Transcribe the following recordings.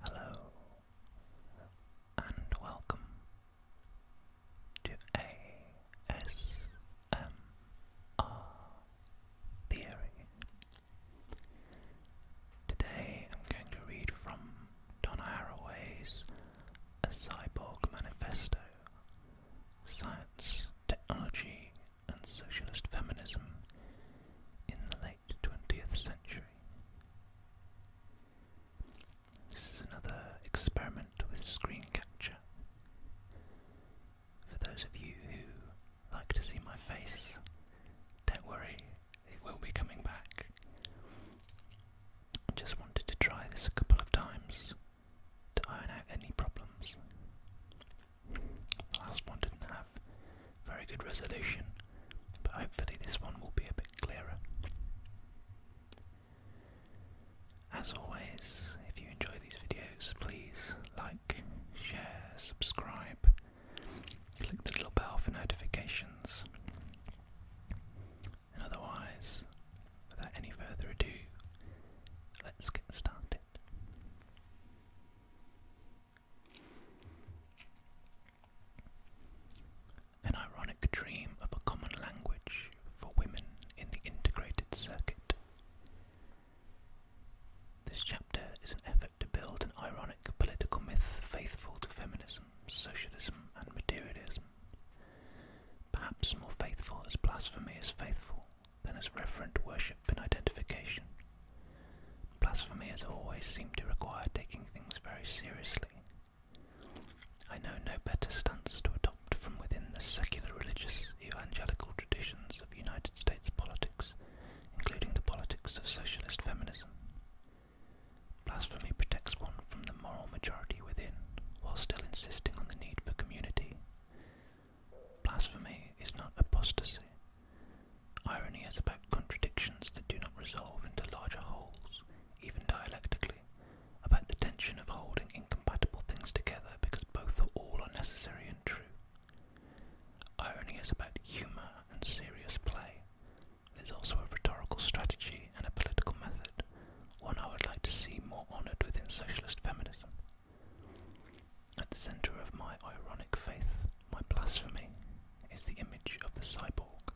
Hello and welcome to ASMR Theory. Today I'm going to read from Donna Haraway's A Cyborg Manifesto Science, Technology and Socialist Feminism in the 20th century. This is another experiment with screen capture. For those of you who like to see my face, don't worry, it will be coming back. just wanted to try this a couple of times to iron out any problems last one didn't have very good resolution, but hopefully this one will be a bit clearer. As always, if you enjoy these videos, please like, share, subscribe, click the little bell for notifications. And otherwise, without any further ado, let's get started. An ironic dream of a common language for women in the integrated circuit. This chapter is an effort to build an ironic political myth faithful to feminism, socialism, and materialism. Perhaps more faithful as blasphemy is faithful than as reverent worship and identification Blasphemy has always seemed to require taking things very seriously. I know no better stance to adopt from within the secular religious evangelical traditions of United States politics, including the politics of socialist feminism. Blasphemy protects one from the moral majority within, while still insisting on the need for community. Blasphemy is not apostasy, Irony is about contradictions that do not resolve into larger wholes, even dialectically, about the tension of holding incompatible things together because both or all are necessary and true. Irony is about humour and serious play. It is also a rhetorical strategy and a political method, one I would like to see more honoured within socialist feminism. At the center of my ironic faith, my blasphemy, is the image of the cyborg.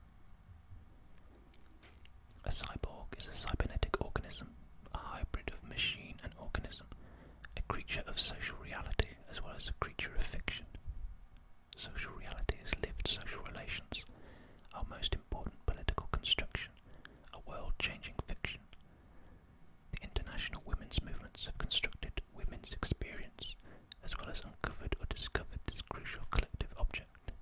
A cyborg is a cybernetic organism, a hybrid of machine and organism, a creature of social reality as well as a creature of fiction. Social reality is lived social relations, our most important political construction, a world-changing fiction. The international women's movements have constructed women's experience as well as uncovered or discovered this crucial collective object.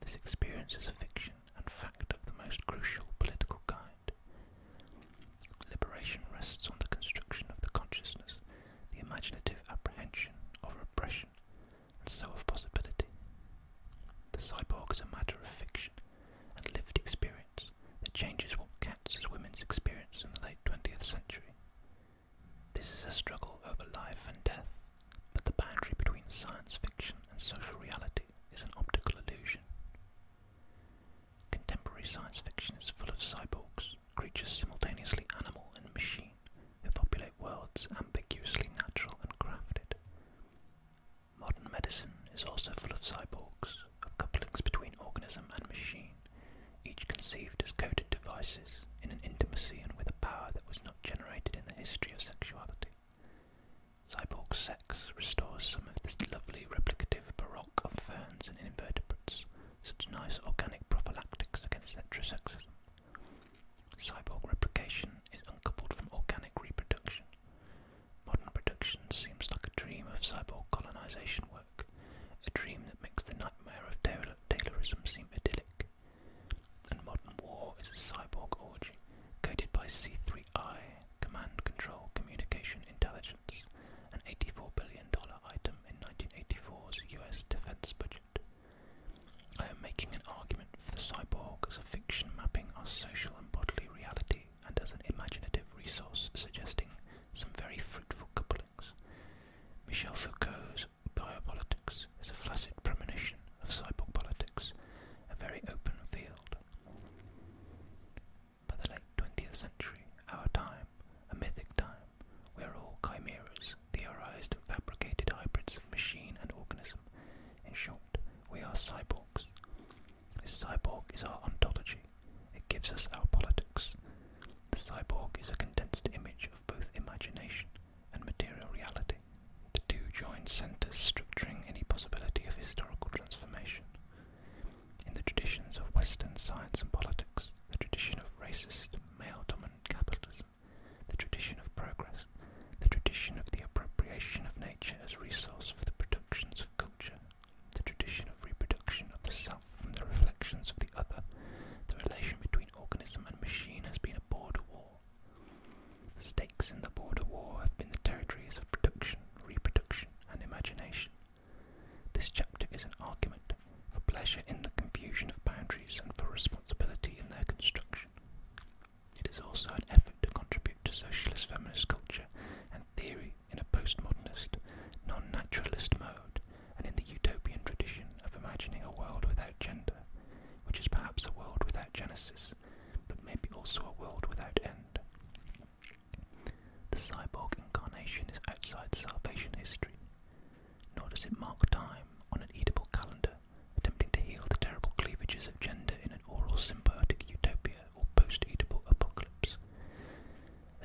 This experience is a fiction and fact of the most crucial political kind. Liberation rests on the construction of the consciousness, the imaginative apprehension of repression, and so of possibility. The cyborg is a matter of fiction and lived experience, that changes what cats as women's experience in the late 20th century. This is a struggle over life and death, but the boundary between science fiction and social reality is an optical illusion. Contemporary science fiction is full of cyborgs, creatures simultaneously animal and machine, who populate worlds ambiguously natural and crafted. Modern medicine is also full of cyborgs, of couplings between organism and machine, each conceived as coded devices in an intimacy and with a power that was not generated in the history of sexuality. Cyborg sex restores some of this lovely replicative baroque of ferns and invertebrates, such nice organic prophylactics against heterosexism. Cyborg replication is uncoupled from organic reproduction. Modern production seems like a dream of cyborg colonization work a dream that makes the nightmare of Taylor Taylorism seem idyllic. And modern war is a cyborg orgy coded by C3I, Command Control Communication Intelligence, an $84 billion item in 1984's US defense budget. I am making an argument for the cyborg as a fiction mapping our social and bodily reality and as an imaginative resource suggesting some very fruitful couplings. Michel Foucault's biopolitics is a flaccid premonition of cyborg politics, a very open field. By the late 20th century, our time, a mythic time, we are all chimeras, theorized and fabricated hybrids of machine and organism. In short, we are cyborgs. This cyborg is our ontology, it gives us our politics. The cyborg is a condensed image of both imagination and material reality. The two joined centers structuring any possibility of historical transformation. In the traditions of Western science and politics, the tradition of racist, male-dominant capitalism, the tradition of progress, the tradition of the appropriation of nature as resource for the productions of culture the tradition of reproduction of the self from the reflections of the other, the relation between organism and machine has been a border war. The stakes in the border war have been the territories of production, reproduction, and imagination. This chapter is an argument for pleasure in the confusion of boundaries and for responsibility in their construction. It is also an effort to contribute to socialist feminist culture and theory in a postmodernist, non-naturalist mode and in the utopian tradition of imagining a world without gender, which is perhaps a world without genesis, but maybe also a world without end. The cyborg incarnation is outside salvation history, nor does it mark time on an edible calendar, attempting to heal the terrible cleavages of gender in an oral symbiotic utopia or post-eatable apocalypse.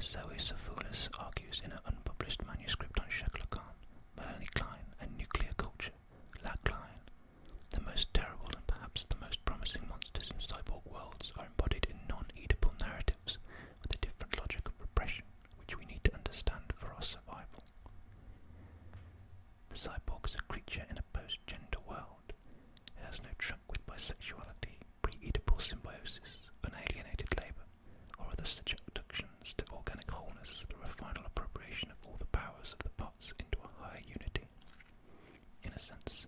Zoe Safoulis argues in her unpublished manuscript on Shakla Khan, Melanie Klein, and nuclear culture, Lag Klein, the most terrible and perhaps the most promising monsters in cyborg worlds are embodied in non-eatable narratives with a different logic of repression, which we need to understand for our survival. The cyborg is a creature in a post-gender world. It has no tr with bisexuality, pre-Oedipal symbiosis, unalienated labour, or other such abductions to organic wholeness through a final appropriation of all the powers of the parts into a higher unity. In a sense,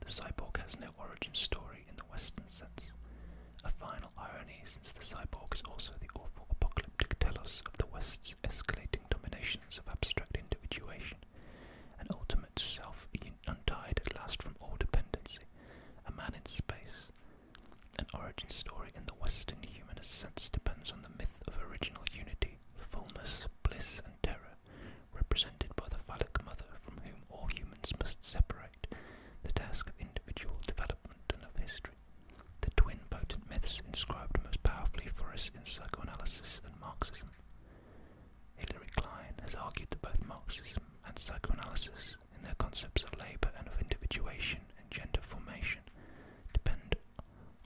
the cyborg has no origin story in the Western sense, a final irony since the cyborg is also the awful apocalyptic telos of the West's escalating dominations of abstract individuation, and ultimate self untied at last from all dependency, a man in space. An origin story in the Western humanist sense depends on the myth of original unity, fullness, bliss, and terror, represented by the phallic mother from whom all humans must separate, the task of individual development and of history. The twin potent myths inscribed most powerfully for us in psychoanalysis and Marxism. Hillary Klein has argued that both Marxism and psychoanalysis thinkers, in their concepts of labour and of individuation and gender formation, depend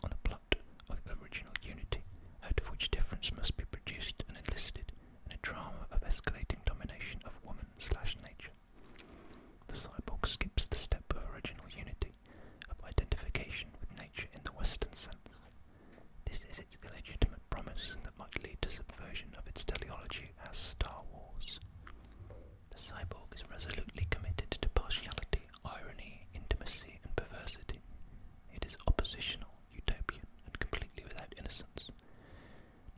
on a plot of original unity, out of which difference must be produced and enlisted in a drama of escalating domination of woman slash nature. The cyborg skips the step of original unity, of identification with nature in the Western sense. This is its illegitimate promise that might lead to subversion of its teleology as Star Wars. The cyborg is resolutely committed to partiality, irony, intimacy, and perversity. It is oppositional, utopian, and completely without innocence.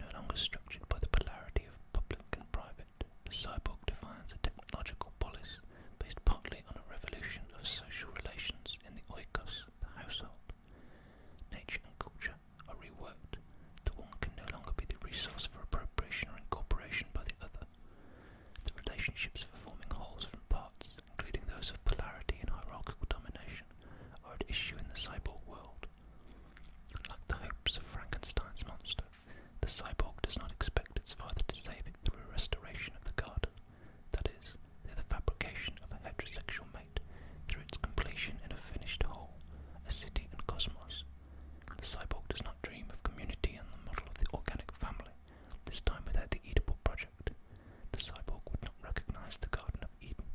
No longer structured by the polarity of public and private, the cyborg defines a technological polis based partly on a revolution of social relations in the oikos, the household. Nature and culture are reworked, the one can no longer be the resource for appropriation or incorporation by the other. The relationships for forming wholes from parts, including those of polarity and hierarchical domination, are at issue in the cyborg world. Like the hopes of Frankenstein's monster, the cyborg does not expect its father to save it through a restoration of the garden, that is, the fabrication of a heterosexual mate through its completion in a finished whole, a city and cosmos. The cyborg does not dream of community and the model of the organic family, this time without the eatable project. The cyborg would not recognize the Garden of Eden.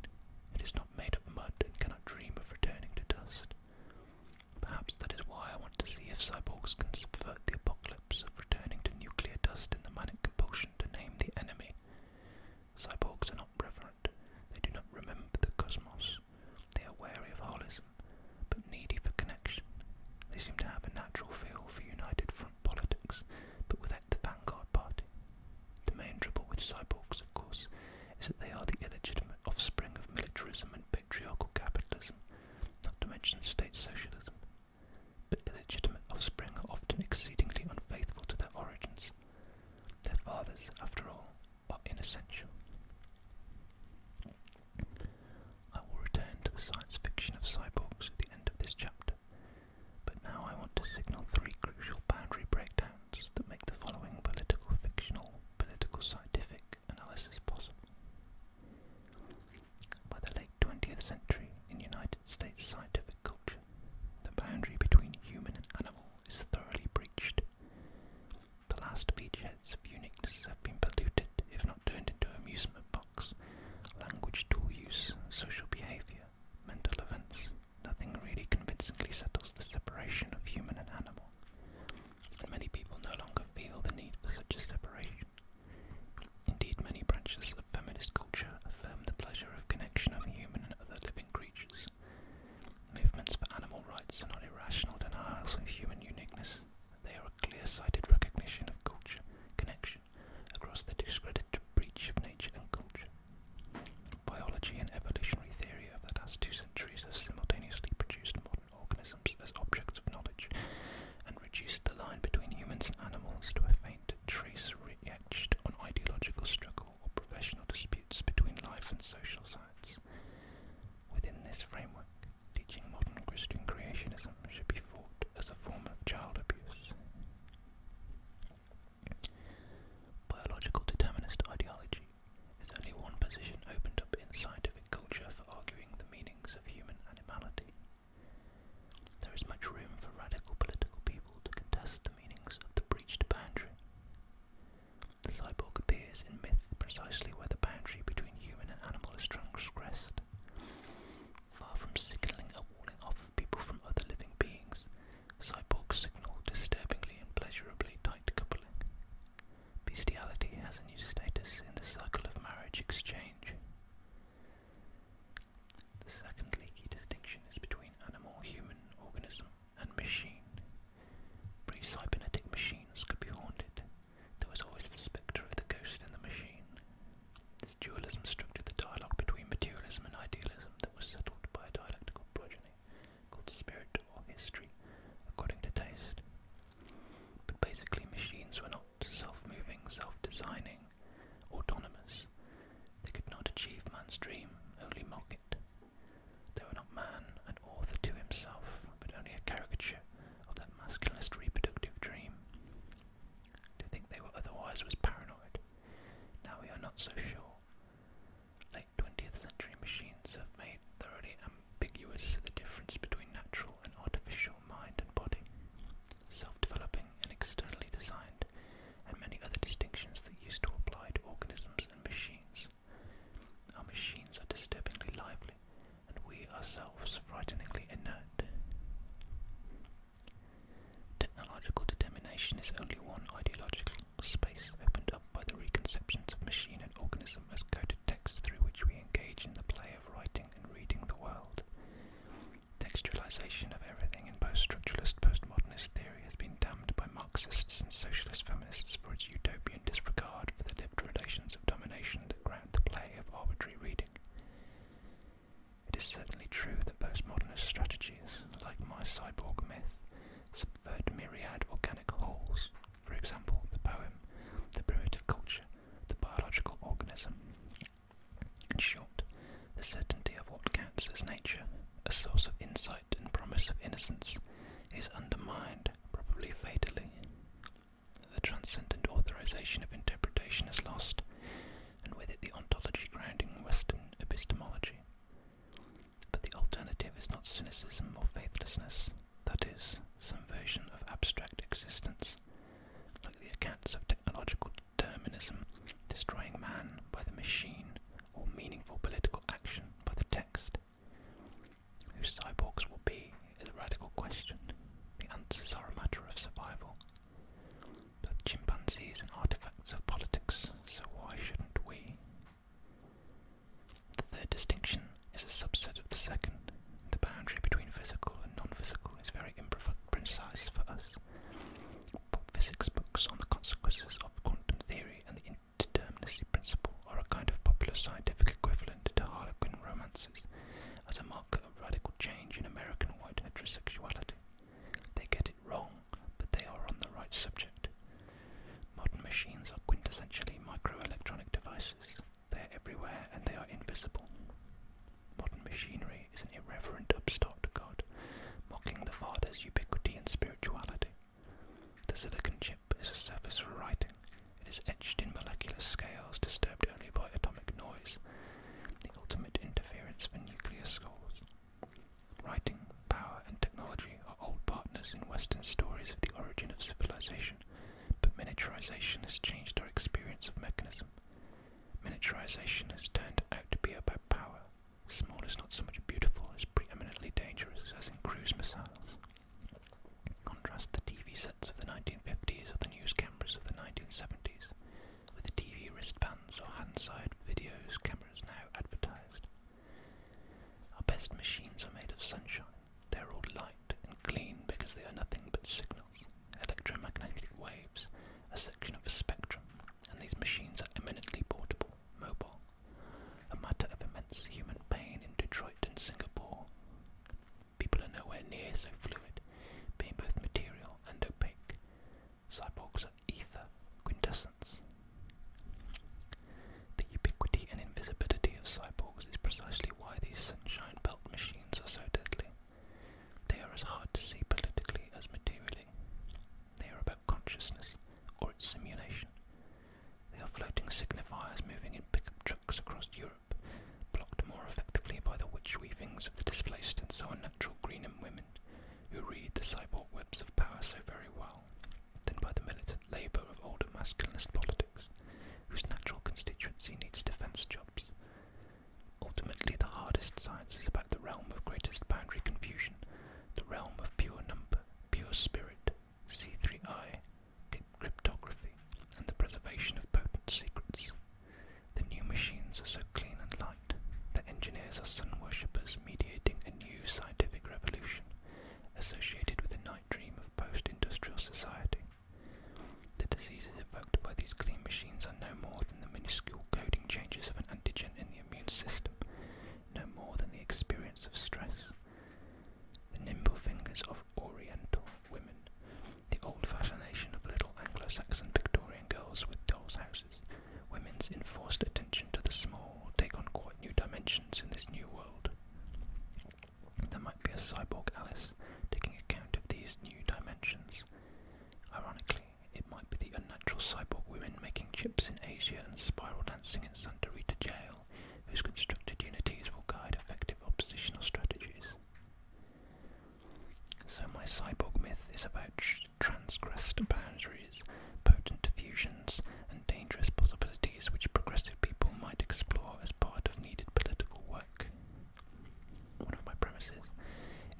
It is not made of mud and cannot dream of returning to dust. Perhaps that is why I want to see if cyborgs can subvert the apocalypse of returning to nuclear dust in the manic compulsion to name the enemy. Cyborgs are are they do not remember the cosmos, they are wary of holism, but needy for connection. They seem to have a natural feel for united front politics, but without the vanguard party. The main trouble with cyborgs, of course, is that they are the illegitimate offspring of militarism and patriarchal capitalism, not to mention state socialism. But illegitimate offspring are often exceedingly unfaithful to their origins, their fathers, after all, are inessential. I will return to the science fiction of cyborgs at the end of this chapter, but now I want to signal three crucial boundary breakdowns that make the following political fictional, political scientific analysis possible. By the late 20th century in United States scientific culture, the boundary between human and animal is thoroughly breached. The last beachheads of Unix have been polluted, if not turned into amusement box, language tool use, social behaviour, mental events. Nothing really convincingly settles the separation of human and animal, and many people no longer feel the need for such a separation. Indeed, many branches of feminist culture affirm the pleasure of connection of human and other living creatures, Movements for animal rights are not irrational denials of human uniqueness. They are a clear-sighted recognition of culture connection across the discredited breach of nature and culture. Biology and evolutionary theory of the last two centuries have simultaneously produced modern organisms as objects of knowledge and reduced the line between humans and animals to a faint trace etched on ideological struggle or professional disputes between life and social sites. Within this framework, teaching modern Christian creationism should be fought as a form of child abuse. Biological determinist ideology is only one position opened up in scientific culture for arguing the meanings of human animality. There is much room for radical political people to contest the meanings of the breached boundary cyborg appears in myth precisely where the boundary between human and animal is transgressed. Far from signalling a warning off of people from other living beings, cyborgs signal disturbingly and pleasurably tight coupling. Bestiality has a new status in the circle of marriage exchange. The second leaky distinction is between animal-human organism and machine. Pre-cybernetic machines could be haunted. There was always the spectre of the ghost in the machine. This dualism structured the dialogue between materialism and idealism that was settled by a dialectical progeny called spirit or history, according to taste. But basically, machines were not self-moving, self-designing, autonomous. They could not achieve man's dream, only mock it. They were not man, an author to himself, but only a caricature of that masculinist reproductive dream. To think they were otherwise was paranoid. Now we are not so sure. Late 20th century machines have made thoroughly ambiguous the difference between natural and artificial mind and body, self developing and externally designed and many other distinctions that used to apply to organisms and machines. Our machines are disturbingly lively, and we ourselves frighteningly inert. Technological determination is only one ideological space opened up by the reconceptions of machine and organism as coded texts through which we engage in the play of writing and reading the world. Textualization of everything in post structuralist postmodernist theory has been damned by Marxists and socialist feminists for its utopian disregard for the lived relations of domination that ground the play of arbitrary reading. It is certainly true that postmodernist strategies, like my cyborg myth, subvert myriad organic wholes, for example, the poem, the primitive culture, the biological organism. In short, the certainty of what counts as nature, a source of insight and promise of innocence is undermined, probably fatally. The transcendent authorization of interpretation is lost, and with it the ontology grounding Western epistemology. But the alternative is not cynicism or faithlessness, that is, some version of abstract existence, like the accounts of technological determinism destroying man by the machine or meaningful political action by the text. Who cyborgs will be is a radical question. The answers are a matter of survival. But chimpanzees and artifacts of politics, so why shouldn't we? The third distinction is a subset of the second. The boundary between physical and non physical is very imprecise for us physics books on the consequences of quantum theory and the indeterminacy principle are a kind of popular scientific equivalent to Harlequin romances as a mark of radical change in American white heterosexuality. They get it wrong, but they are on the right subject. Modern machines are quintessentially microelectronic devices. They are everywhere and they are invisible. Modern machinery is an irreverent upstart to god, mocking the Father's ubiquity and spirituality. The silicon chip is a surface for writing. It is etched in molecular scales disturbed only by atomic noise, the ultimate interference for nuclear scores. Writing, power, and technology are old partners in Western stories of the origin of civilization, but miniaturization has changed our experience of mechanism. Miniaturization has turned out to be about power, Small is not so much beautiful as preeminently dangerous as in cruise missiles. Contrast the TV sets of the 1950s or the news cameras of the 1970s with the TV wristbands or hand-side videos cameras now advertised. Our best machines are made of sunshine. They are all light and clean because they are nothing but signals, electromagnetic waves, a section of a spectrum, and these machines are eminently portable, mobile, a matter of immense human pain in Detroit and Singapore. People are nowhere near so fluid, being both material and opaque. Cyborgs are ether, quintessence. The ubiquity and invisibility of cyborgs is precisely why these sunshine belt machines are so deadly. They are as hard to see politically as materially. They are about consciousness or its simulation. They are floating signifiers moving in pickup trucks across Europe, blocked more effectively by the witch weavings of the displaced and so unnatural green and women, who read the cyborg webs of power so very well, than by the militant labour of older masculinist politics, whose natural constituency needs defence jobs. Ultimately, the hardest science is about the realm of greatest boundary confusion, the realm of pure number, pure spirit, C3I, cryptography, and the preservation of potent secrets. The new machines are so clean and light that engineers are sun worshippers mediating a new scientific revolution associated with the night dream of post-industrial society. The diseases evoked by these clean machines are no more than the minuscule coding changes of an antigen in the immune system, no more than the experience of stress. The nimble fingers of Oriental women, the old fascination of little Anglo-Saxon Victorian girls with dolls' houses, women's enforced attention to the small take on quite new dimensions in this new world. There might be a cyborg Alice taking account of these new dimensions. Ironically, it might be the unnatural cyborg women making chips in Asia and spiral dancing in Santa Rita jail, whose constructed unities will guide effective oppositional strategies. So my cyborg myth is about tr transgressed boundaries, potent fusions, and dangerous possibilities which progressive people might explore as part of needed political work. One of my premises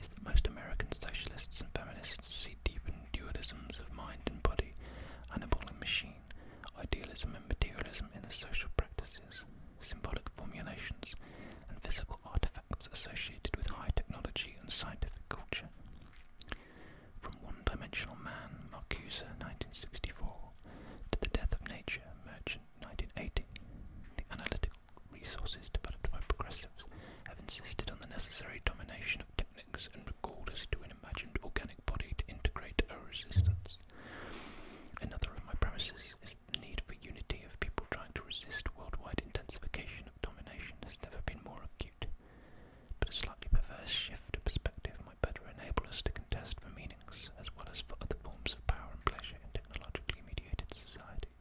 is that most American socialists and feminists see deep dualisms of mind and body, animal and machine, idealism and materialism in the social practices, symbolic formulations, and physical artifacts associated with high technology and scientific culture. From One Dimensional Man, Marcuse, 1964, to The Death of Nature, Merchant, 1980, the analytical resources developed by progressives have insisted on the necessary domination of technology and recalled us to an imagined organic body to integrate our resistance. Another of my premises is the need for unity of people trying to resist worldwide intensification of domination has never been more acute. But a slightly perverse shift of perspective might better enable us to contest for meanings as well as for other forms of power and pleasure in technologically mediated societies.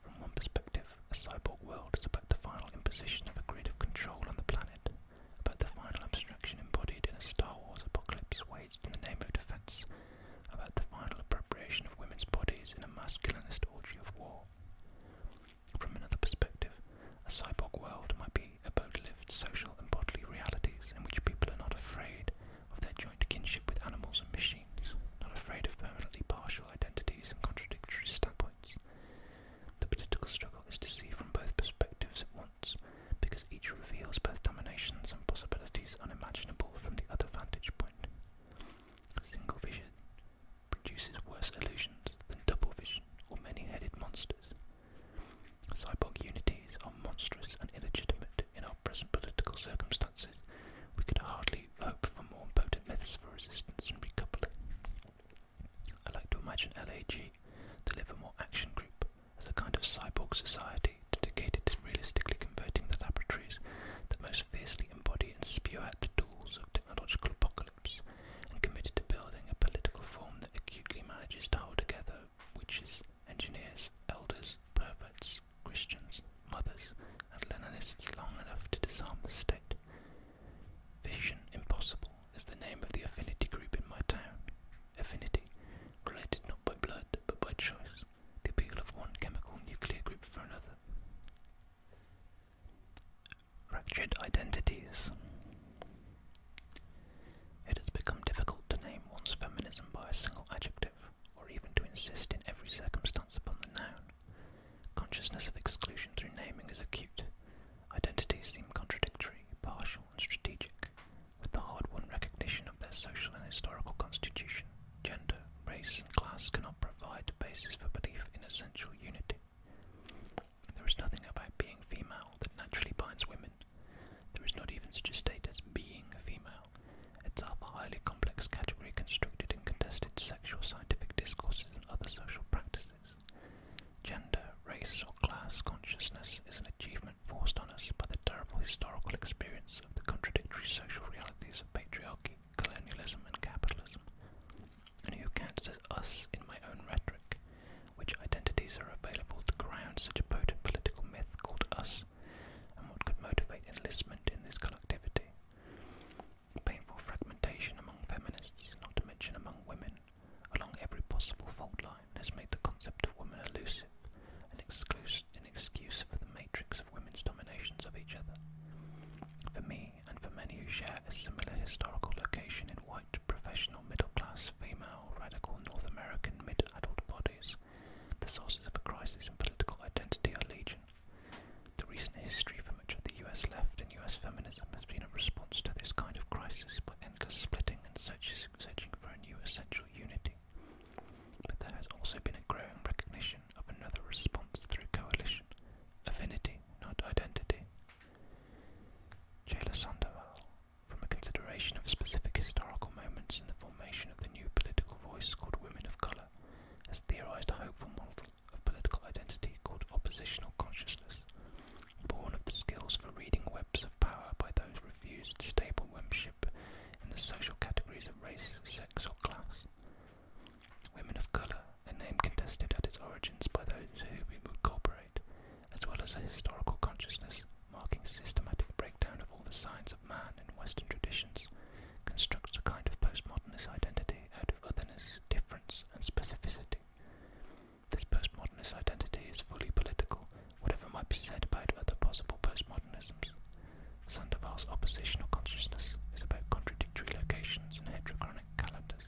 From one perspective, a cyborg world is about the final imposition of a grid of control on the planet, about the final abstraction embodied in a Star Wars apocalypse waged in the name of defense, about the final appropriation of women's bodies in a masculinist orgy of war. From another perspective, a cyborg world might be about lived social and bodily realities in which people are not afraid of their joint kinship with animals and machines, not afraid of permanently partial identities and contradictory standpoints, the political struggle is to see from both perspectives at once, because each reveals both dominations and possibilities unimaginable from the other vantage point. Single vision produces worse illusions than double vision or many-headed monsters. Cyborg unities are monstrous and illegitimate in our present political circumstances. We could hardly to hope for more potent myths for resistance and recoupling. I like to imagine LAG to live more action group as a kind of cyborg society dedicated to realistically converting the laboratories that most fiercely embody and spew out the tools of technological apocalypse and committed to building a political form that acutely manages to hold together witches, engineers, elders, perverts, Christians, mothers, and Leninists long enough to disarm the state. Vision Impossible is the name of the affinity group in my town. Affinity, related not by blood but by choice, the appeal of one chemical nuclear group for another. Fractured Identities. It has become difficult to name one's feminism by a single adjective, or even to insist in every circumstance upon the noun. Consciousness of exclusion through naming is acute. Identities seem contradictory, partial, and strategic, with the hard won recognition of their social and historical constitution. Gender, race, and class cannot provide the basis for belief in essential unity. There is nothing about being female that naturally binds women. There is not even such a state as being a female. Itself a highly complex category constructed in contested sexual scientific discourses other social practices. Gender, race, or class consciousness is an achievement forced on us by the terrible historical experience of the contradictory social realities of patriarchy, colonialism, and capitalism. And who counts as us in my own rhetoric? Which identities are available to ground such a potent political myth called us? And what could motivate enlistment in this collectivity? Painful fragmentation among feminists, not to mention among women, along every possible fault line has made the concept of women elusive, an excuse, an excuse for the matrix of women's dominations of each other. For me, and for many who share a similar historical location in white, professional, middle-class, female, radical North American mid-adult bodies, the sources of a crisis in political identity are legion. The recent history for much of the US left and US feminism has been a response to this kind of crisis by endless splitting and searching for a new essential unity. But there has also been a growing recognition of another response through coalition, affinity, not identity. Jayla Sandoval, from a consideration of specific historical moments in the formation of the new political voice called Women of Colour, has theorised a hopeful model of political identity called oppositional consciousness, born of the skills for reading webs of power by those refused stable membership in the social categories of race, sex or class. Women of colour, a name contested at its origins by those who we would corporate, as well as a historical consciousness marking systematic breakdown of all the signs of man in Western traditions, constructs a kind of postmodernist identity out spirit of otherness, difference, and specificity. This postmodernist identity is fully political, whatever might be said about other possible postmodernisms. Sandoval's oppositional consciousness is about contradictory locations and heterochronic calendars,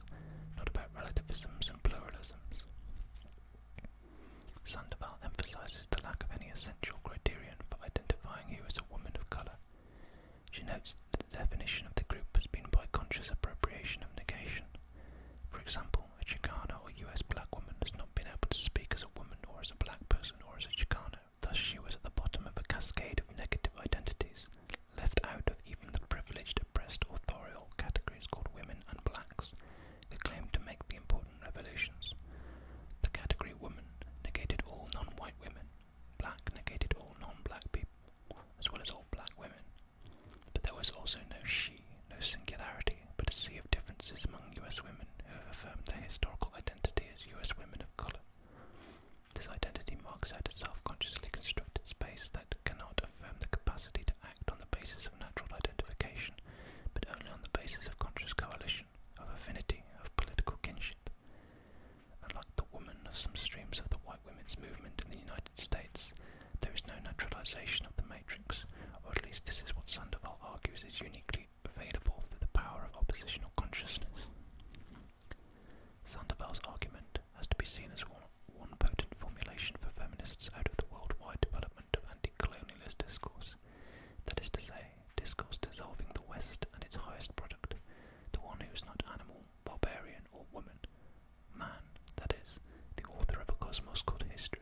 not about relativisms and pluralisms. Sandoval emphasizes the lack of any essential criterion for identifying you as a woman of color. She notes the definition of the group has been by conscious appropriation of negation. For example, a Chicana or US black woman has not been able to speak as a woman or as a black person or as a Chicana. Thus, she was at the bottom of a cascade of negative identities, left out of even the privileged, oppressed, authorial categories called women and blacks, who claimed to make the important revolutions. The category woman negated all non white women, black negated all non black people as well as all black women. But there was also no she, no singularity, but a sea of differences among US women who have affirmed their historical identity as US women of colour. This identity marks out a self-consciously constructed space that cannot affirm the capacity to act on the basis of natural identification, but only on the basis of conscious coalition, of affinity, of political kinship. Unlike the woman of some streams of the white women's movement in the United States, there is no naturalization of the matrix, or at least this is what Sandoval argues is uniquely available through the power of oppositional consciousness. Sandoval's argument has to be seen as one, one potent formulation for feminists out of the worldwide development of anti-colonialist discourse, that is to say, discourse dissolving the West and its highest product, the one who is not animal barbarian or woman, man, that is, the author of a cosmos called history.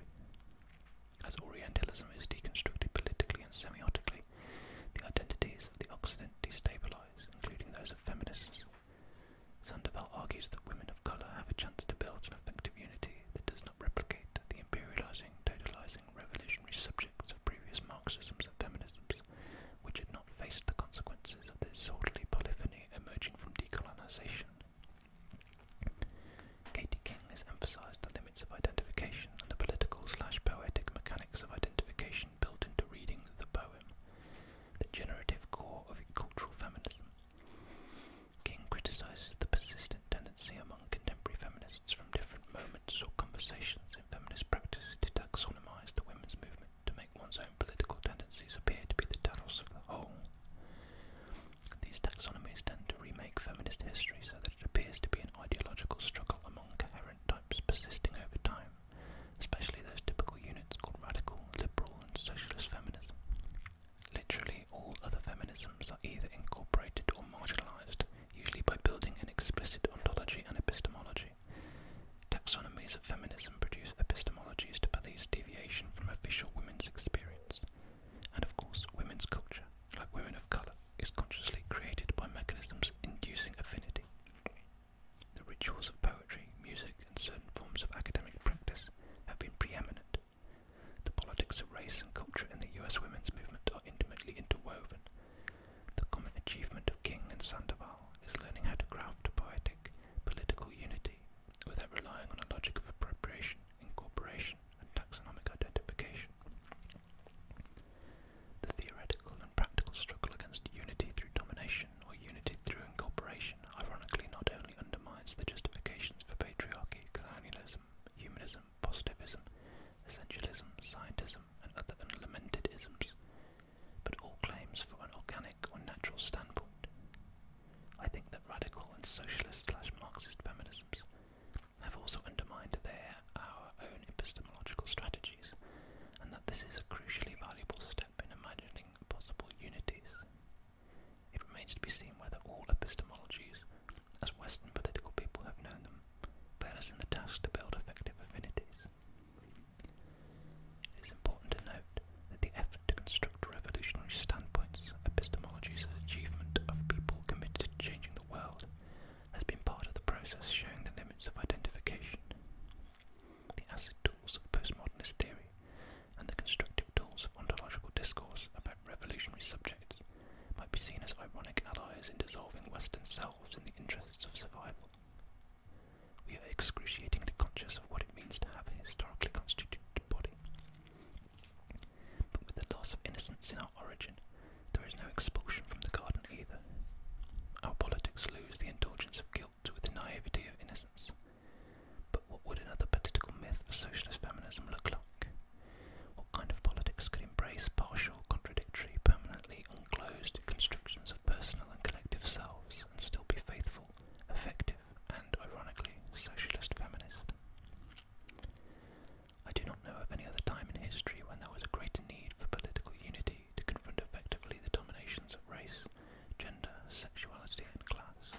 As Orientalism is deconstructed politically and semiotically, the identities of the Occident destabilize, including those of feminists. Sandoval argues that women of colour have a chance to build an effective unity that does not replicate the imperializing, totalizing, revolutionary subjects of previous Marxisms and feminisms which had not faced the consequences of this orderly polyphony emerging from decolonization. Katie King has emphasized the limits of identification and the political slash poetic mechanics of identification built into reading the poem, the generative core of cultural feminism. King criticizes the persistent tendency among contemporary feminists from different moments or conversations in feminist practice to taxonomize the women's movement to make one's own political tendencies appear to be the terrors of the whole. These taxonomies tend to remake feminist history so that it appears to be an ideological struggle among coherent types persisting over time, especially those typical units called radical, liberal, and socialist feminism. Literally all other feminisms are either incorporated or marginalized, usually by building an explicit ontology and epistemology. Taxonomies of feminism produce epistemologies to police deviation from official women's experience. And of course, women's culture, like women of colour, is consciously created by mechanisms inducing affinity. The rituals of poetry, music, and certain forms of academic practice have been preeminent. The politics of race and culture in the US women's movement are intimately interwoven, the common achievement of King and Sandoval is learning how to craft poetic political unity without relying on a logic of appropriation, incorporation, and taxonomic identification. The theoretical and practical struggle against unity through domination or unity through incorporation ironically not only undermines the justifications for patriarchy, colonialism, humanism, positivism, essentialism, scientism, and other unlamented isms, but all claims from an organic or natural standpoint. I think that radical and socialist slash Marxist feminisms have also undermined their our own epistemological strategies, and that this is a crucially valuable step in imagining possible unities. It remains to be seen whether all epistemologies, as Western political people have known them, bear us in the task to build effective affinities. It is important to note that the effort to construct revolutionary standpoints, epistemologies as achievement of people committed to changing the world, has been part of the process showing the limits of identification. The acid tools of postmodernist theory and the constructive tools of ontological discourse about revolutionary subjects might be seen as ironic allies in dissolving Western selves in the interests of survival. We are excruciatingly conscious of what it means to have a historically constituted body. But with the loss of innocence in our origin, there is no expulsion from the garden either. Our politics lose the indulgence of guilt with the naivety of innocence. But what would another political myth of socialist feminism look like? What kind of politics could embrace partial, contradictory, permanently closed constructions of personal and collective selves and still be faithful, effective, and, ironically, socialist feminist. I do not know of any other time in history when there was a greater need for political unity to confront effectively the dominations of race, gender, sexuality, and class.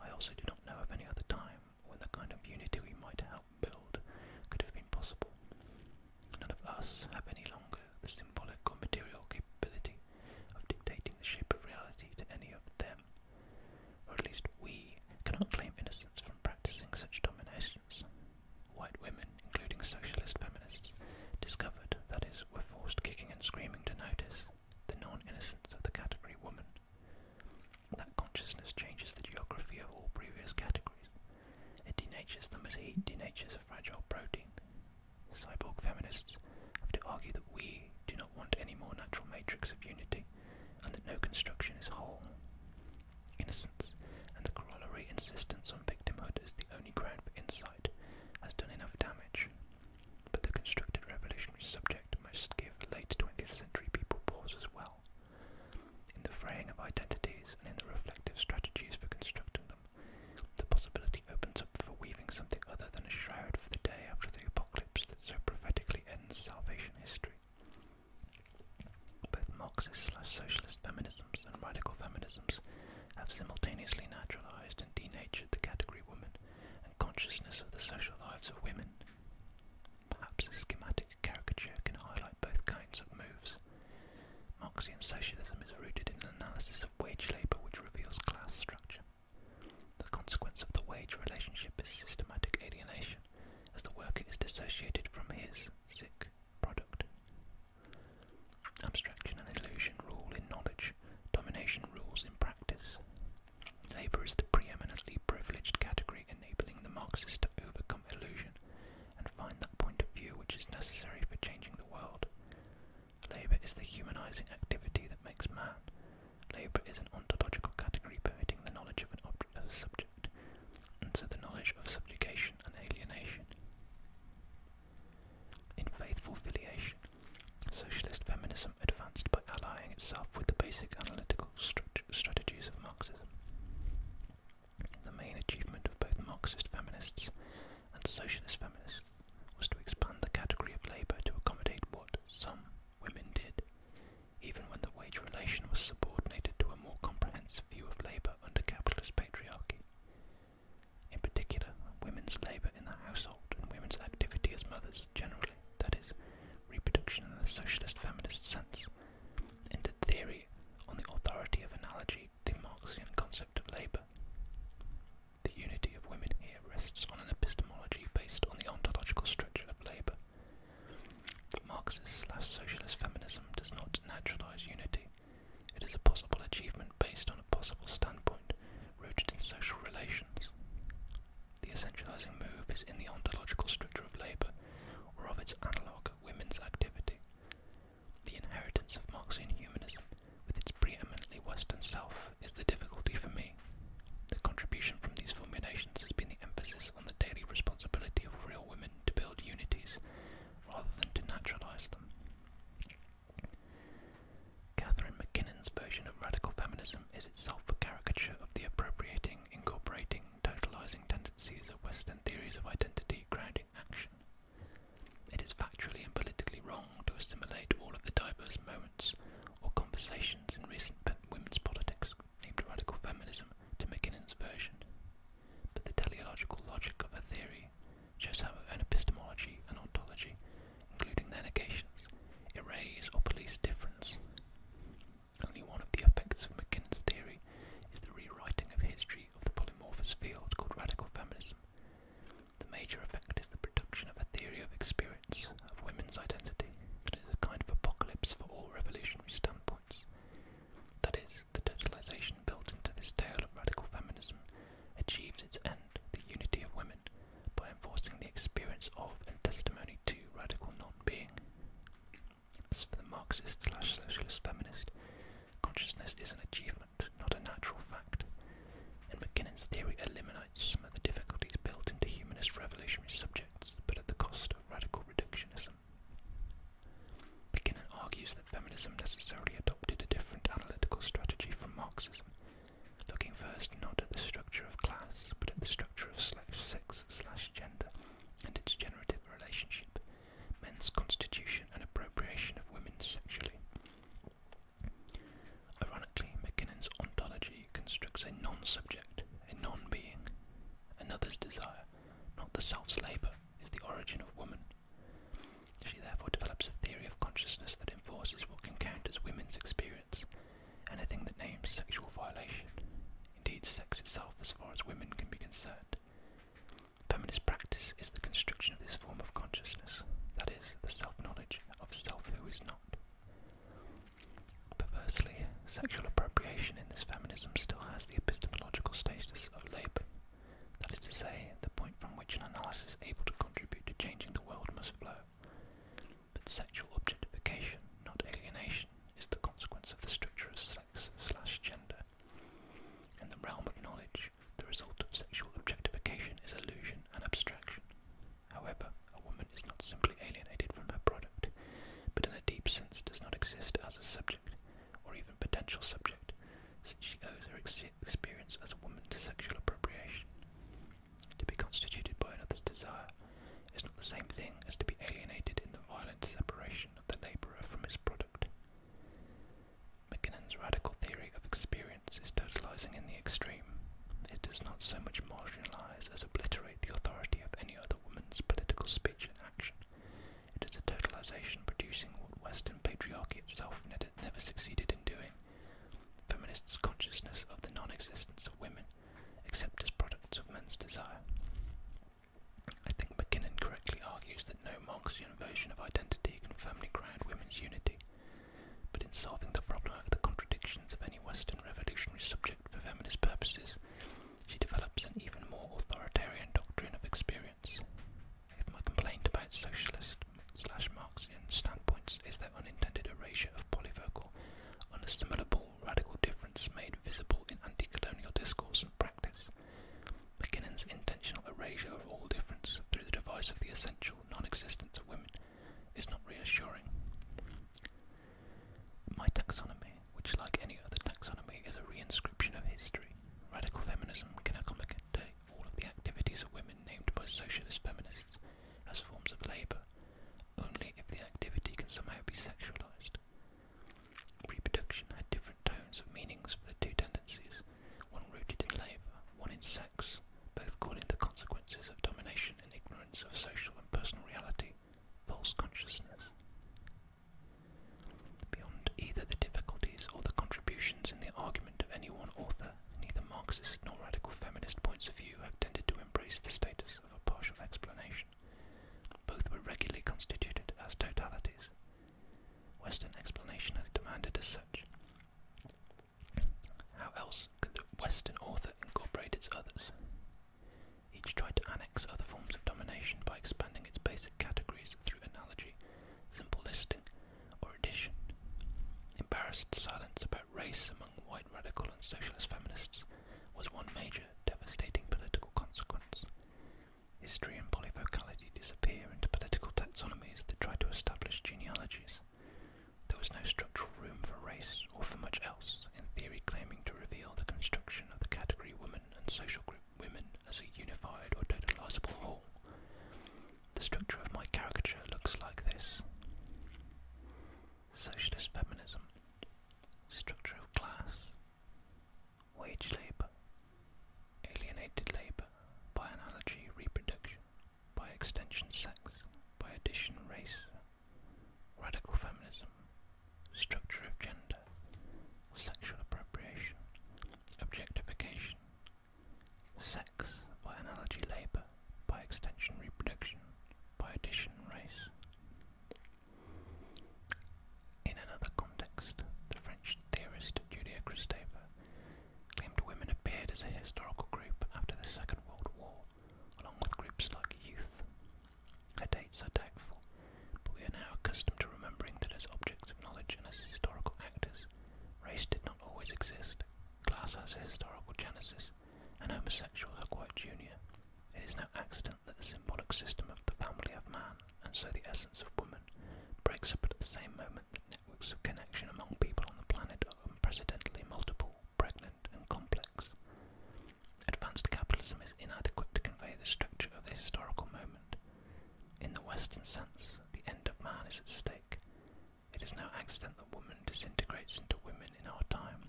I also do not know of any other time when the kind of unity we might help build could have been possible, None of us have any longer the symbolic or material capability of dictating the shape of reality to any of them, or at least we cannot claim innocence from practicing such dominations. White women, including socialist feminists, discovered, that is, were forced kicking and screaming to notice, the non-innocence of the category woman. That consciousness changes the geography of all previous categories, it denatures them as heat denatures a fragile protein. Cyborg feminists have to argue that we do not want any more natural matrix of unity, and that no construction is whole. Innocence and the corollary insistence on victimhood as the only ground for insight has done enough damage. But the constructed revolutionary subject must give late 20th century people pause as well. In the fraying of identities and in the reflective strategies for constructing them, the possibility opens up for weaving something other than a shroud for the day after the apocalypse that so prophetically ends salvation history. Both Marxist socialist feminisms and radical feminisms have simultaneously naturalized and denatured the category woman and consciousness of the social lives of women. Perhaps a schematic caricature can highlight both kinds of moves Marxian socialism is rooted in an analysis of wage labour which reveals class structure. The consequence of the wage relationship is systematic alienation, as the worker is dissociated from his sick product. Abstraction and illusion rule in knowledge, domination rules in practice. Labour is the preeminently privileged category enabling the Marxist to overcome illusion and find that point of view which is necessary for changing the world. Labour is the humanizing activity that makes man. Labour is an ontological category permitting the knowledge of an object a subject, and so the knowledge of subjugation and alienation. In faithful filiation, socialist feminism advanced by allying itself with the basic analytical strategies of Marxism. The main achievement of both Marxist feminists and socialist feminists was to expand the category of labour to accommodate what some women did, even when the wage relation was subordinated to a more comprehensive view of labour under capitalist patriarchy. In particular, women's labour in the household and women's activity as mothers generally, that is, reproduction in the socialist feminist sense. In the theory, on the authority of analogy, the Marxian concept of labour. The unity of women here rests on an epistemology based on the ontological structure of labour. Marxist slash socialist feminism does not naturalise unity. It is a possible achievement based on a possible standpoint rooted in social relations. The essentialising move is in the ontological structure of labour, or of its analogue, women's activity. The inheritance of Marxian humanism, with its preeminently Western self, is the difficulty for me. The contribution from these formulations has been the emphasis on the daily responsibility of real women to build unities, rather than to naturalize them. Catherine McKinnon's version of radical feminism is itself a caricature of the appropriating, incorporating, totalizing tendencies of Western theories of identity grounding action. It is factually and politically wrong to assimilate all of the diverse moments or conversations in recent women's politics named radical feminism to McKinnon's version. But the teleological logic of a theory shows how an epistemology and ontology, including their negations, erases or polices difference. Only one of the effects of McKinnon's theory is the rewriting of history of the polymorphous field called radical feminism, the major effect is the production of a theory of experience, of women's identity, that is a kind of apocalypse for all revolutionary standpoints. That is, the totalization built into this tale of radical feminism achieves its end, the unity of women, by enforcing the experience of and testimony to radical non being. As for the Marxist slash socialist feminist, Consciousness is an achievement, not a natural fact, and McKinnon's theory eliminates some of the difficulties built into humanist revolutionary subjects, but at the cost of radical reductionism. McKinnon argues that feminism necessarily adopted a different analytical strategy from Marxism, looking first not at the structure of class, but at the structure of slash sex slash gender and its generative relationship men's constitution and appropriation of women sexually. Ironically, MacKinnon's ontology constructs a non-subject, a non-being, another's desire, not the self's labour, is the origin of woman. She therefore develops a theory of consciousness that enforces what can count as women's experience, anything that names sexual violation, indeed sex itself as far as women can be concerned. Feminist practice is the construction of this form of consciousness, that is, the self-knowledge of self who is not. Perversely, sexual appropriation in this feminism still has the epistemological status of labour. That is to say, the point from which an analysis able to contribute to changing the world must flow. But sexual objectification, not alienation, is the consequence of the structure of sex slash gender. In the realm of knowledge, the result of sexual objectification is illusion and abstraction. However, a woman is not simply alienated from her product, but in a deep sense does not exist as a subject, or even potential subject, since she owes her experience as a woman to sexual appropriation. To be constituted by another's desire is not the same thing as to be alienated in the violent separation of the labourer from his product. McKinnon's radical theory of experience is totalizing in the extreme. It does not so much marginalize as obliterate the authority of any other woman's political speech and action. It is a totalization producing what Western patriarchy itself never succeeded in doing. Feminists' consciousness of the non existence of women, except as products of men's desire. I think McKinnon correctly argues that that no Marxian version of identity can firmly ground women's unity, but in solving the problem of the contradictions of any Western revolutionary subject for feminist purposes, she develops an even more authoritarian doctrine of experience. If my complaint about socialist slash Marxian standpoints is their unintended erasure of polyvocal, unassimilable radical difference made visible in anti-colonial discourse and practice, Mackinnon's intentional erasure of all difference through the device of the essential non existence of women is not reassuring. My taxonomy, which, like any other taxonomy, is a reinscription of history, radical feminism can accommodate all of the activities of women named by socialist feminists as forms of labour, only if the activity can somehow be sexualized. Reproduction had different tones of meanings for the two tendencies, one rooted in labour, one in sex, both calling the consequences of domination and ignorance of social and personal reality false consciousness. Beyond either the difficulties or the contributions in the argument of any one author, neither Marxist nor radical feminist points of view have tended to embrace the status of a partial explanation. Both were regularly constituted as totalities, Western explanation is demanded as such. How else could the Western author incorporate its others? Each tried to annex other forms of domination by expanding its basic categories through analogy, simple listing, or addition. Embarrassed silence about race among white radical and socialist feminists was one major, devastating political consequence. History and polyvocality disappear into political taxonomies that try to establish genealogies. There was no structural room for race or for much else, in theory claiming to reveal the construction of the category women and social group women as a unified or totalizable whole. The structure of my caricature looks like this. Socialist feminism. Structure of class wage labor, alienated labor, by analogy reproduction, by extension sex, by addition race, radical feminism, structure of gender, sexual appropriation, objectification, sex, by analogy labor, by extension reproduction, by addition race. In another context, the French theorist Julia Kristeva claimed women appeared as a historical group after the Second World War, along with groups like youth. Her dates are doubtful, but we are now accustomed to remembering that as objects of knowledge and as historical actors, race did not always exist, class has a historical genesis, and homosexuals are quite junior. It is no accident that the symbolic system of the family of man, and so the essence of woman, breaks up at the same moment that networks of connection among people on the planet are unprecedentedly multiple, pregnant, and complex. Advanced capitalism is inadequate to convey the structure of the historical moment. In the Western sense, the end of man is at stake. It is no accident that woman disintegrates into women in our time.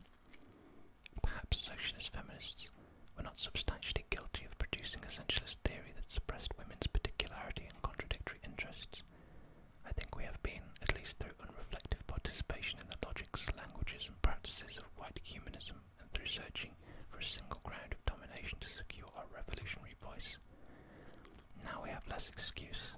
Perhaps socialist feminists were not substantially guilty of producing essentialist theory that suppressed women's particularity and contradictory interests, I think we have been, at least through unreflective participation in the logics, languages, and practices of white humanism, and through searching for a single ground of domination to secure our revolutionary voice. Now we have less excuse,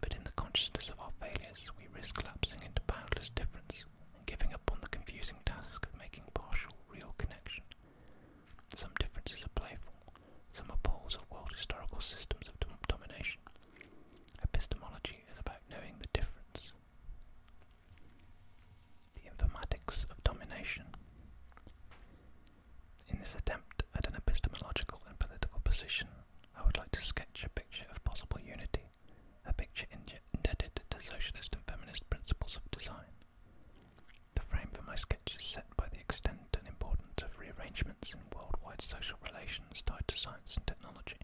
but in the consciousness of our failures, we risk collapsing into boundless difference and giving up on the confusing task of making partial, real connection. Some differences are playful, some are poles of world historical systems of domination. Epistemology is about knowing the difference. The informatics of domination. In this attempt at an epistemological and political position, I would like to sketch a picture of possible unity, a picture indebted to socialist and feminist principles of design. The frame for my sketch is set by the extent and importance of rearrangements in worldwide social relations tied to science and technology.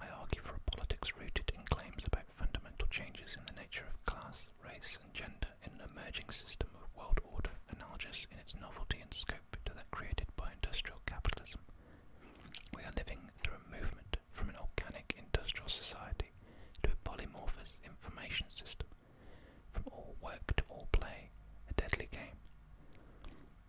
I argue for a politics rooted in claims about fundamental changes in the nature of class, race, and gender in an emerging system of world order analogous in its novelty and scope to that created by industrial capitalism. We are living through a movement from an organic industrial society to a polymorphous information system from all work to all play, a deadly game.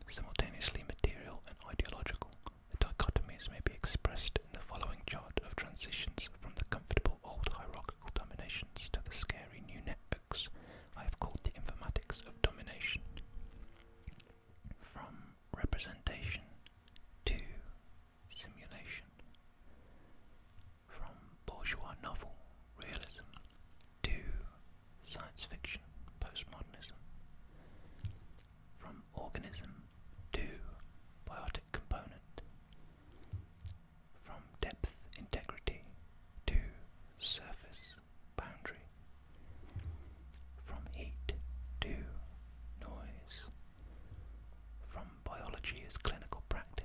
Simultaneously material and ideological, the dichotomies may be expressed in the following chart of transitions from the comfortable old hierarchical dominations to the scary new networks I have called the informatics of domination. From representation to simulation. From bourgeois novel realism to science fiction postmodernism. From organism to biotic component. From depth integrity to surface boundary. From heat to noise. From biology as clinical practice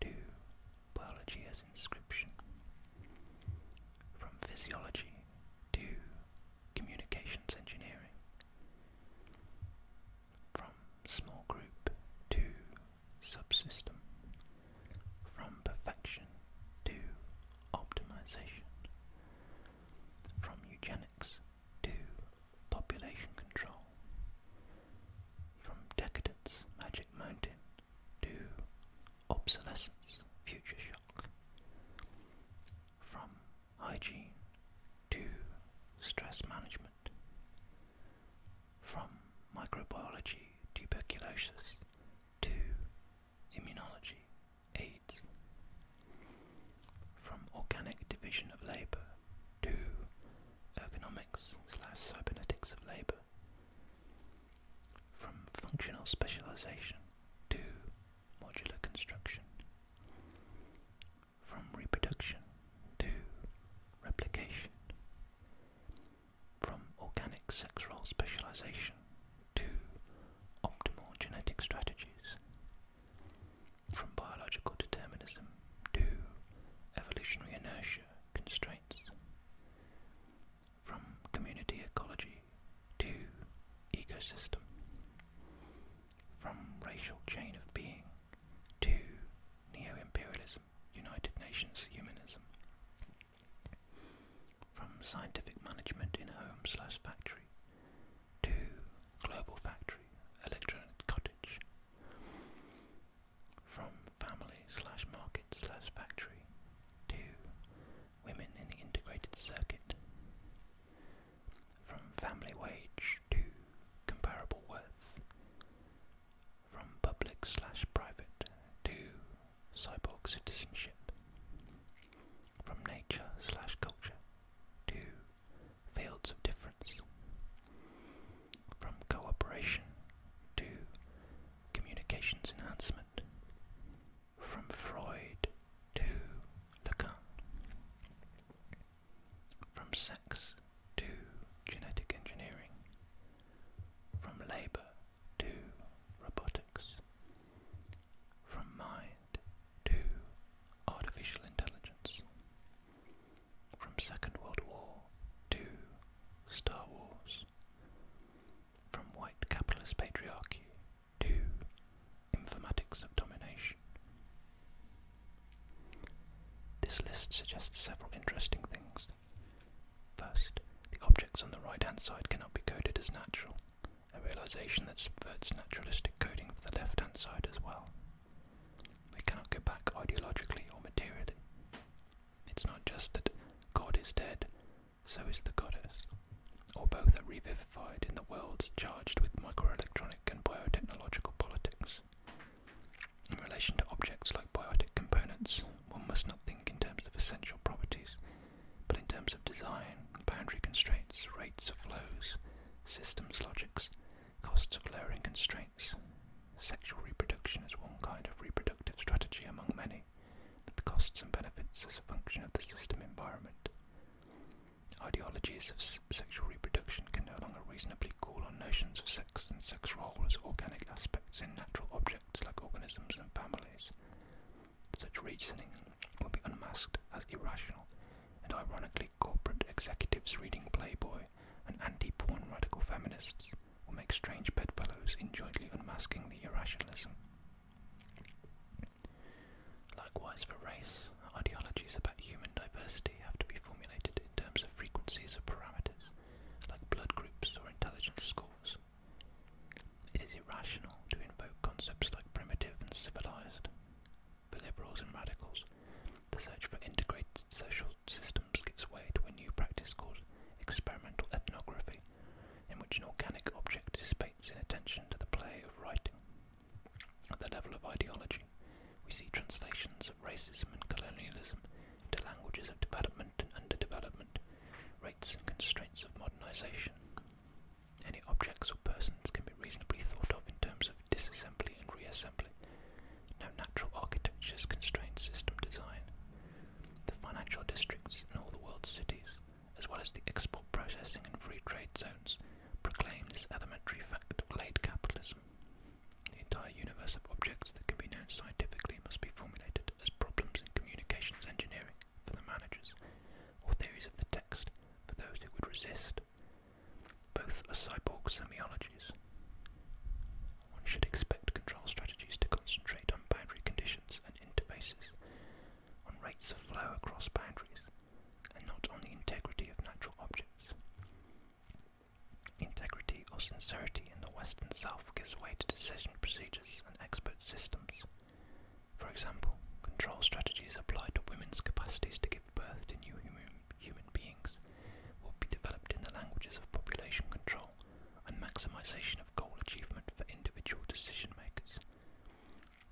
to biology as inscription, from physiology to communications engineering, from small group to subsystem, from perfection to optimization, from eugenics to population control. From decadence, Magic Mountain, to obsolescence, Future Shock. From hygiene to stress management. From microbiology, tuberculosis, to immunology, AIDS. From organic division of labour to ergonomic slash cybernetics of labour. From functional specialisation to modular construction. From reproduction to replication. From organic sex role specialisation to optimal genetic strategies from biological determinism to evolutionary inertia constraints, from community ecology to ecosystem, from racial chain of being to neo-imperialism, United Nations humanism, from scientific management in home slash factory to global factory, electronic cottage, from family slash market slash factory to women in the integrated circuit, from family wage to comparable worth, from public slash private to cyborg citizenship, from nature slash culture to fields of difference. From cooperation to communications enhancement. From Freud to Lacan. From sex to genetic engineering. From labour to robotics. From mind to artificial intelligence from Second World War to Star Wars, from white capitalist patriarchy to informatics of domination. This list suggests several interesting things. First, the objects on the right hand side cannot be coded as natural, a realization that subverts naturalistic coding for the left hand side as well. We cannot go back ideologically or materially. It's not just that God is dead, so is the goddess, or both are revivified in the worlds charged with microelectronic and biotechnological politics. In relation to objects like biotic components, one must not think in terms of essential properties, but in terms of design, boundary constraints, rates of flows, systems logics, costs of lowering constraints, Sexual reproduction is one kind of reproductive strategy among many, with costs and benefits as a function of the system environment. Ideologies of sexual reproduction can no longer reasonably call on notions of sex and sex roles as organic aspects in natural objects like organisms and families. Such reasoning will be unmasked as irrational and ironically big corporate executives reading Playboy and anti-porn radical feminists will make strange bedfellows in jointly unmasking the irrationalism. Likewise for race, ideologies about human diversity have to be formulated in terms of frequencies of parameters, like blood groups or intelligence scores. It is irrational to invoke concepts like primitive and civilized. For liberals and radicals, the search for integrated social systems gives way to a new practice called experimental ethnography, in which an organic object dissipates in attention to the play of writing. At the level of ideology, we see translations of racism and colonialism to languages of development and underdevelopment, rates and constraints of modernization. Any objects or persons can be reasonably thought of in terms of disassembly and reassembly. No natural architectures constrained system design. The financial districts in all the world's cities, as well as the export processing and free trade zones, proclaim this elementary fact of late capitalism. The entire universe of objects that can be known scientifically must be formulated as problems in communications engineering for the managers, or theories of the text for those who would resist. Both are cyborg semiotics. One should expect control strategies to concentrate on boundary conditions and interfaces, on rates of flow across boundaries, and not on the integrity of natural objects. Integrity or sincerity in the Western South gives way to decision procedures and expert systems. For example, control strategies apply to women's capacities to give give new human beings will be developed in the languages of population control and maximization of goal achievement for individual decision makers.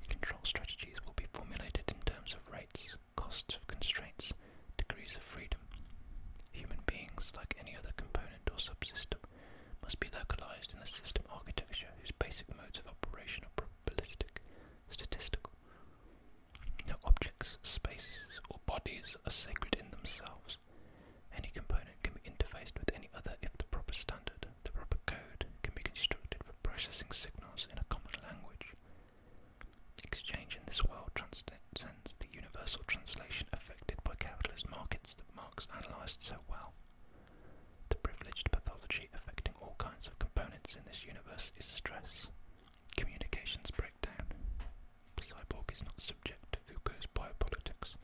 Control strategies will be formulated in terms of rates, costs of constraints, degrees of freedom. Human beings, like any other component or subsystem, must be localized in a system architecture whose basic modes of operation are probabilistic, statistical, no objects, spaces, or bodies are sacred in themselves. Any component can be interfaced with any other if the proper standard, the proper code, can be constructed for processing signals in a common language. Exchange in this world transcends the universal translation affected by capitalist markets that Marx analysed so well. The privileged pathology affecting all kinds of components in this universe is stress. Communications breakdown. The cyborg is not subject to Foucault's biopolitics.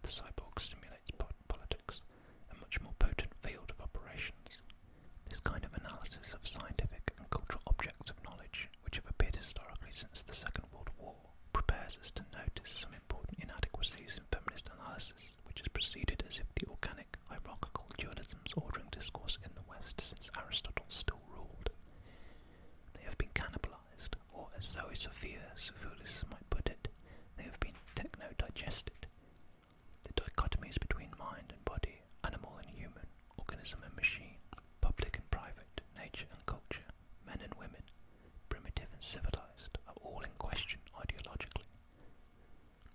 The cyborg simulates biopolitics, a much more potent field of operations. This kind of analysis of scientific and cultural objects of knowledge, which have appeared historically since the Second World War, prepares us to notice some important inadequacies in feminist analysis, which has proceeded as if the organic, hierarchical dualisms ordering discourse in the West since Aristotle still ruled. They have been cannibalized, or as Zoe Sophia Sevulis might put it, they have been techno-digested. The dichotomies between mind and body, animal and human, organism and machine, public and private, nature and culture, men and women, primitive and civilized, are all in question ideologically.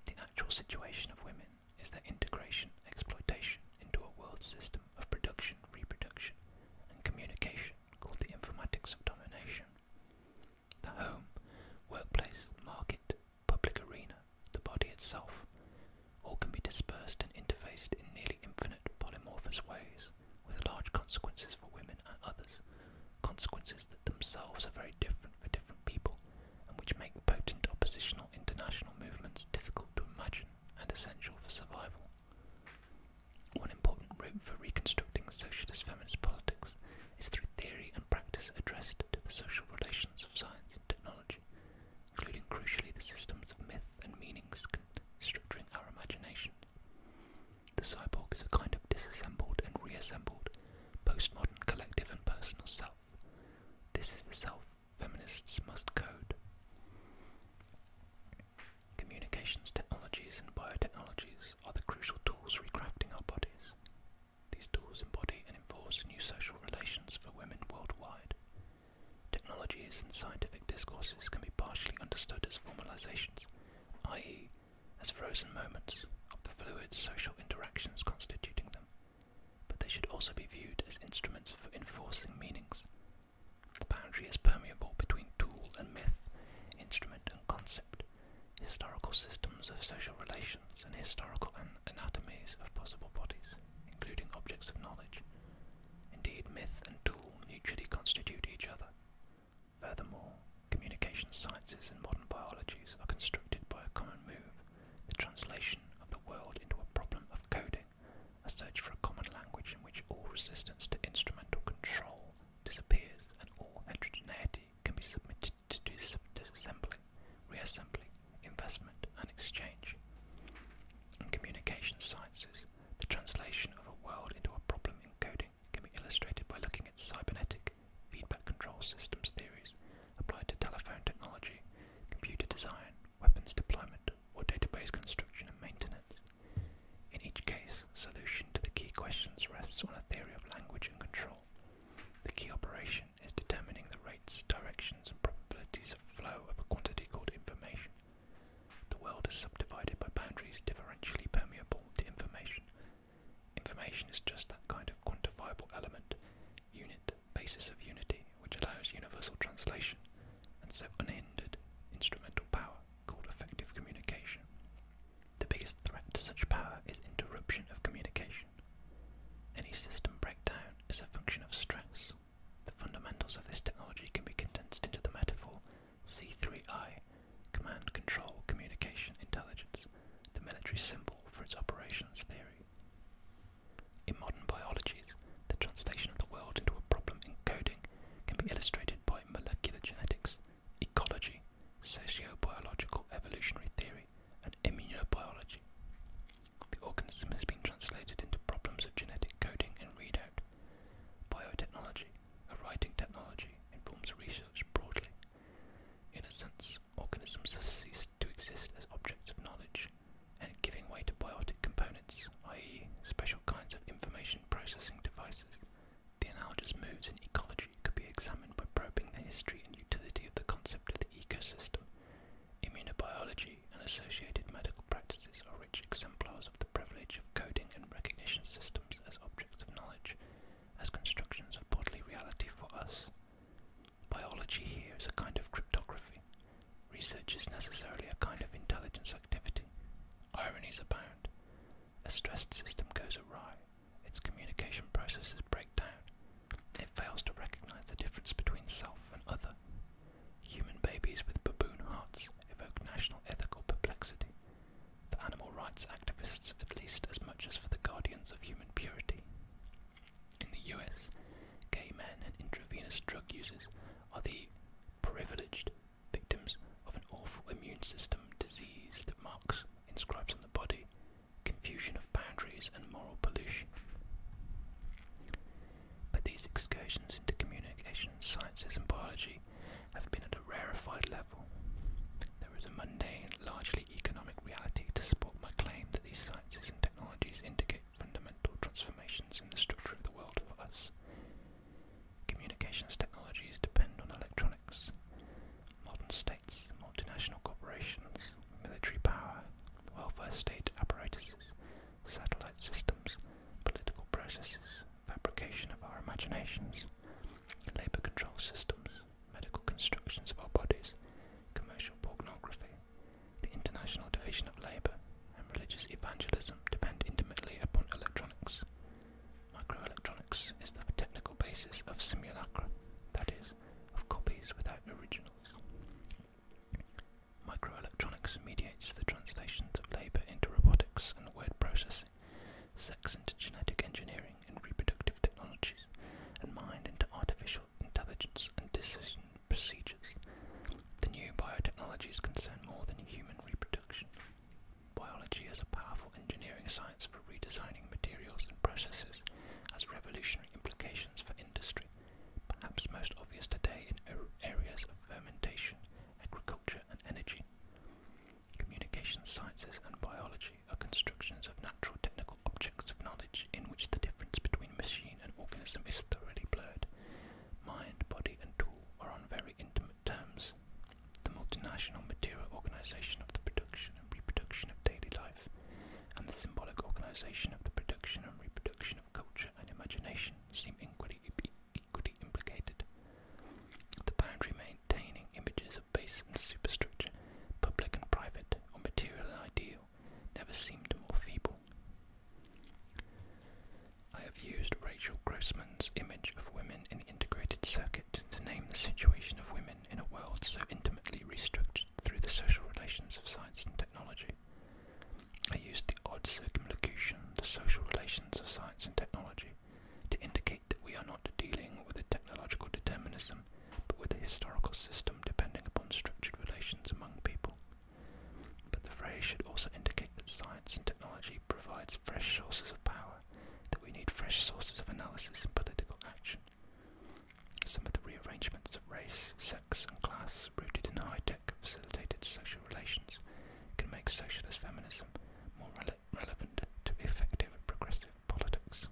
The actual situation of women is their integration, exploitation into a world system of production, reproduction, and communication called the informatics of domination. The home, workplace, market, public arena, the body itself, all can be dispersed and interfaced in nearly infinite polymorphous ways, with large consequences for women and others, consequences that themselves are very different for different people, and which make potent oppositional international movements difficult to imagine and essential for survival. One important route for reconstructing socialist feminist politics is through theory and practice addressed to the social relations of science and technology, including crucially the systems of myth and meanings structuring our imagination. The cyborg is a kind of disassembled and reassembled postmodern collective and personal self. This is the self feminists must code. Communications technologies and biotechnologies are the crucial tools re recrafting our bodies. These tools embody and enforce new social relations for women worldwide. Technologies and scientific discourses can be partially understood as formalizations, i.e., as frozen moments of the fluid social interactions constituting them, but they should also be viewed as instruments for enforcing meanings. The boundary is permeable between tool and myth, instrument and concept, historical systems of social relations, and historical an anatomies of possible bodies, including objects of knowledge. Indeed, myth and tool mutually constitute each other. Furthermore, communication sciences and modern biologies are constructed by a common move, the translation of the world into a problem of coding a search for a common language in which all resistance to instrumental control disappears and all heterogeneity can be submitted to disassembly, reassembly, investment, and exchange. In communication sciences, the translation of a world into a problem encoding can be illustrated by looking at cybernetic feedback control systems theories applied to telephone technology, computer design, weapons deployment, or database construction and maintenance. In each case, solution to the key questions rests on a theory of language and control. The key operation is determining the rates, directions, and probabilities of flow of a quantity called information. The world is subdivided by boundaries differentially permeable to information. Information is just that kind of quantifiable element unit basis of unity, which allows universal translation and so unhindered instrumental power called effective communication. The biggest threat to such power is interruption of communication. Any system breakdown is a function of stress. The fundamentals of this technology can be condensed into the metaphor C3I, Command Control Communication Intelligence, the military symbol for its operations theory. In modern biologies, the translation of the world into a problem in coding can be illustrated by molecular genetics, ecology, sociobiological evolutionary theory, and immunobiology. The organism has been translated into problems of genetic coding and readout. Biotechnology, a writing technology, informs research broadly. In a sense, organisms have ceased to exist as objects of knowledge and giving way to biotic components, i.e. special kinds of information processing devices. The analogous moves in ecology could be examined by probing the history and utility of the concept of the ecosystem. Immunobiology and associated medical practices are rich exemplars of the privilege of coding and recognition systems as objects of knowledge, as constructions of bodily reality for us. Biology here is a kind of cryptography, Research is necessarily a kind of intelligence activity. Ironies abound. A stressed system goes awry, its communication processes break down, it fails to recognize the difference between self and other. Human babies with baboon hearts evoke national ethical perplexity, for animal rights activists at least as much as for the guardians of human purity. In the US, gay men and intravenous drug users are the privileged victims of an awful immune system disease that marks inscribes on the body confusion of boundaries and moral pollution. But these excursions into communication sciences and biology have been at a rarefied level. There is a mundane, largely economic reality to support my claim that these sciences and technologies indicate fundamental transformations in the structure of the world for us. Communications technologies depend on electronics. Modern states, multinational corporations, military power, welfare state apparatuses, satellite systems, political processes, fabrication of our imaginations, labour control systems, medical constructions of our bodies, commercial pornography, the International Division of Labour and religious evangelism depend intimately upon electronics. Microelectronics is the technical basis of simulacra, that is, of copies without originals. Microelectronics mediates the translations of labour into robotics and word processing, sex into genetic engineering and reproductive technologies, and mind into artificial intelligence and decision procedures. The new biotechnology is concerned more than human reproduction. Biology is a powerful engineering science for redesigning materials and processes, has revolutionary implications for industry, perhaps most obvious today in areas of fermentation, agriculture, and energy. Communication sciences and biology are constructions of natural technical objects of knowledge in which the difference between machine an organism is thoroughly blurred. Mind, body, and tool are on very intimate terms. The multinational material organization of the production and reproduction of daily life, and the symbolic organization of the production and reproduction of culture and imagination seem equally implicated. The boundary maintaining images of base and superstructure, public and private, or material and ideal, never seemed more feeble. I have used Rachel Grossman's image of women in the integrated circuit to name the situation of women in a world so intimately restructured through the social relations of science and technology. I used the odd circumlocution, the social relations of science and technology, to indicate that we are not dealing with a technological determinism, but with a historical system depending upon structured relations among people. But the phrase should also indicate that science and technology provides fresh sources of power, that we need fresh sources of analysis and political action. Some of the rearrangements of race, sex, and class rooted in high-tech facilitated social relations can make socialist feminism more relevant to effective progressive politics.